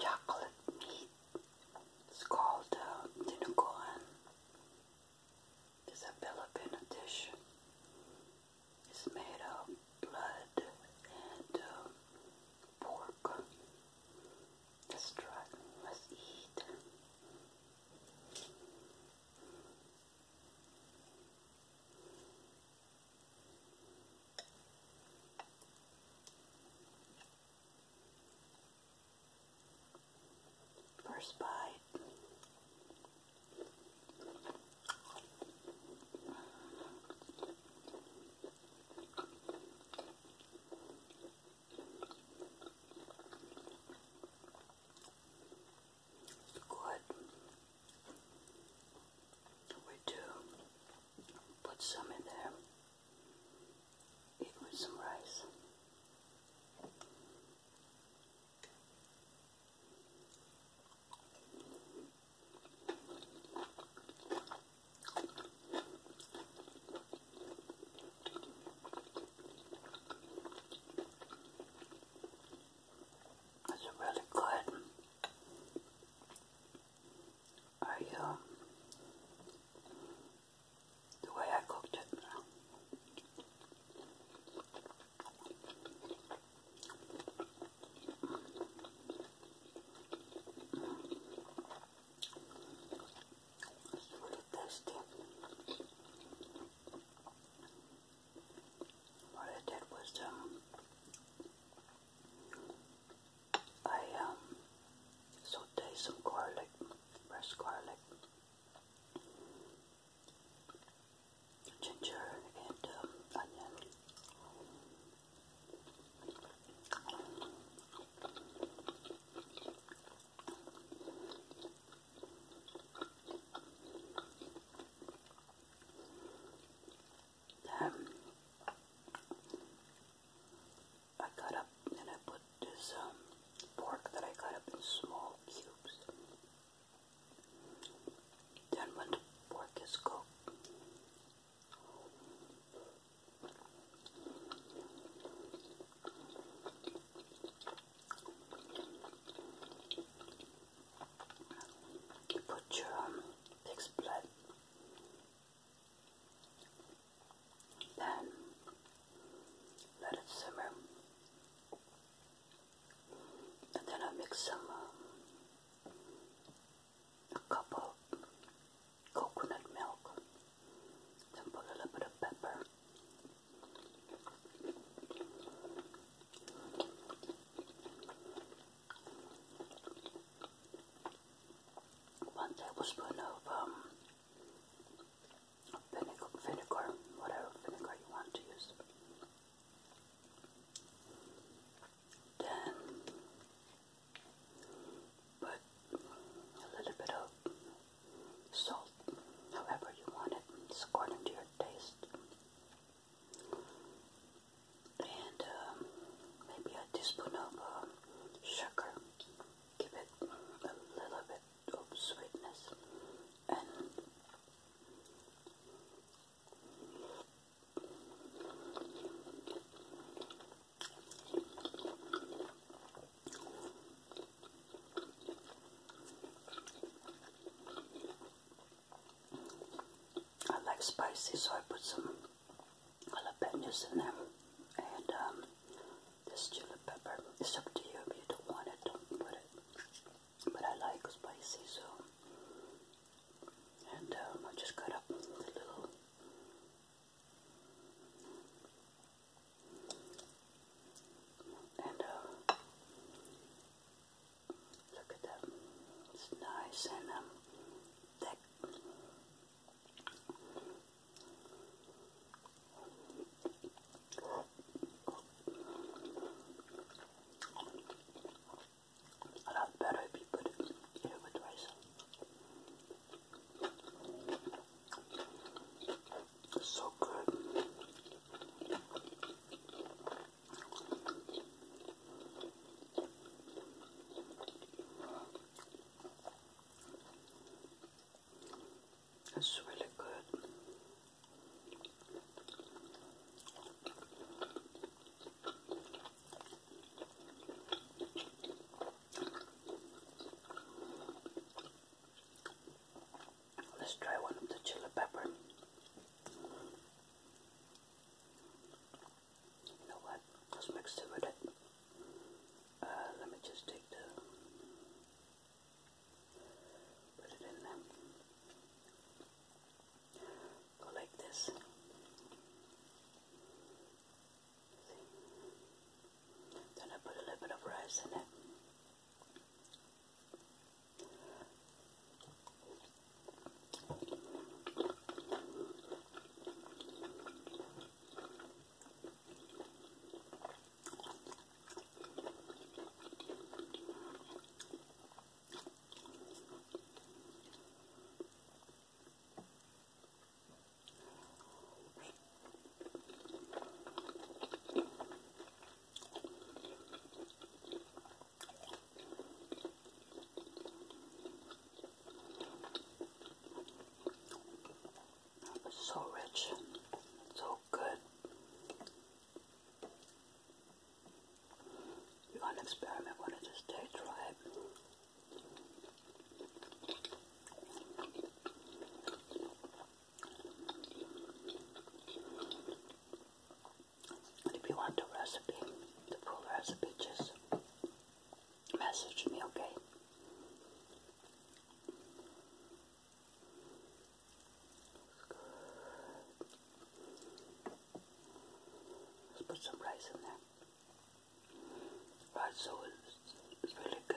Chocolate meat. It's called uh, It's a Filipino dish. It's made of blood and uh, pork. Let's try. Let's eat. First bite good. We do put some in there. Eat with some rice. It's really good. I, um, the way I cooked it. What I did was, um, I um, some garlic, fresh garlic, ginger, and um, onion. Um, I cut up and I put this um, pork that I cut up in small cubes. Then when the pork is cooked, you put your um, pig's then let it simmer, and then I mix some um, a cup of coconut milk. Then put a little bit of pepper. One tablespoon um, of vinegar, vinegar, whatever vinegar you want to use. Then put a little bit of salt, however you want it, according to your taste. And um, maybe a teaspoon of um, sugar, give it a little bit of sweetness. And I like spicy, so I put some jalapenos in them and um, this chili pepper. It's up to you if you don't want it, do But I like spicy, so. And um, I just cut up the little and uh, look at that. It's nice and um, thick. A lot better if you put it, it it's so good. It's really good. Let's try one of the chili pepper. You know what? Let's mix it with it. Uh, let me just take the put it in there. Go like this. See? Then I put a little bit of rice in it. So rich, so good. You gotta experiment when it is day dry if you want the recipe, the full recipe, just message me, okay? Let's put some rice in there. Right, so it's, it's really good.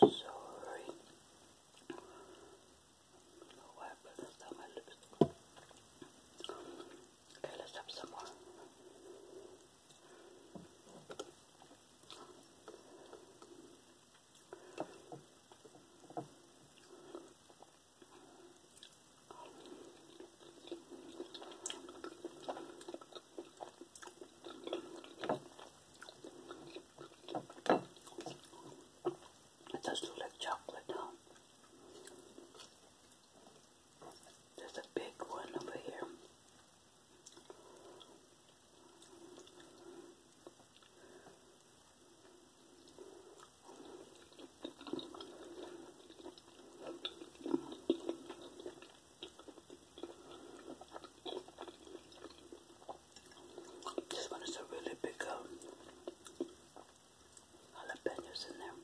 Sorry. What happened this time? My lips. Okay, let's have some more. It does look like chocolate, huh? There's a big one over here. This one is a really big um, jalapenos in there.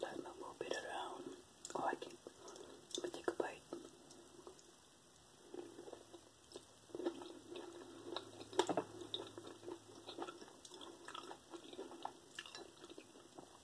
Let me move it around. Oh, I can. take a bite.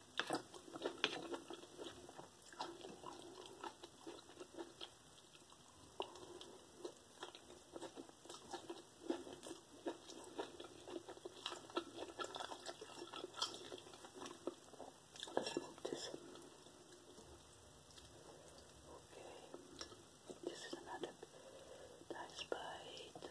Let's move this. Okay, this is another nice bite.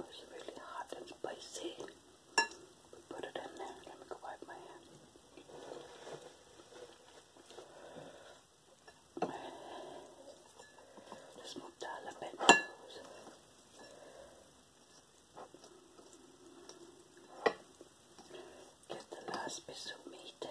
it's really hot and spicy. put it in there. Let me go wipe my hands. Let's move the jalapenos. Get the last piece of meat.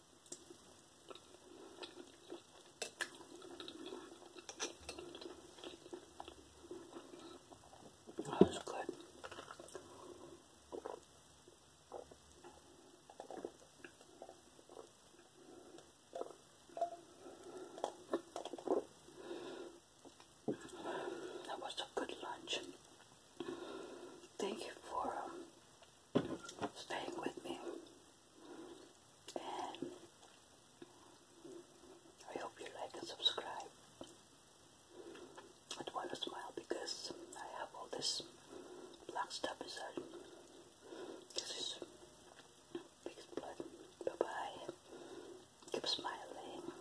Oh, that's good. That was a good lunch. Thank you for um, staying with me. I hope you like and subscribe. I want to smile because I have all this black stuff inside. This is big blood. Bye bye. Keep smiling.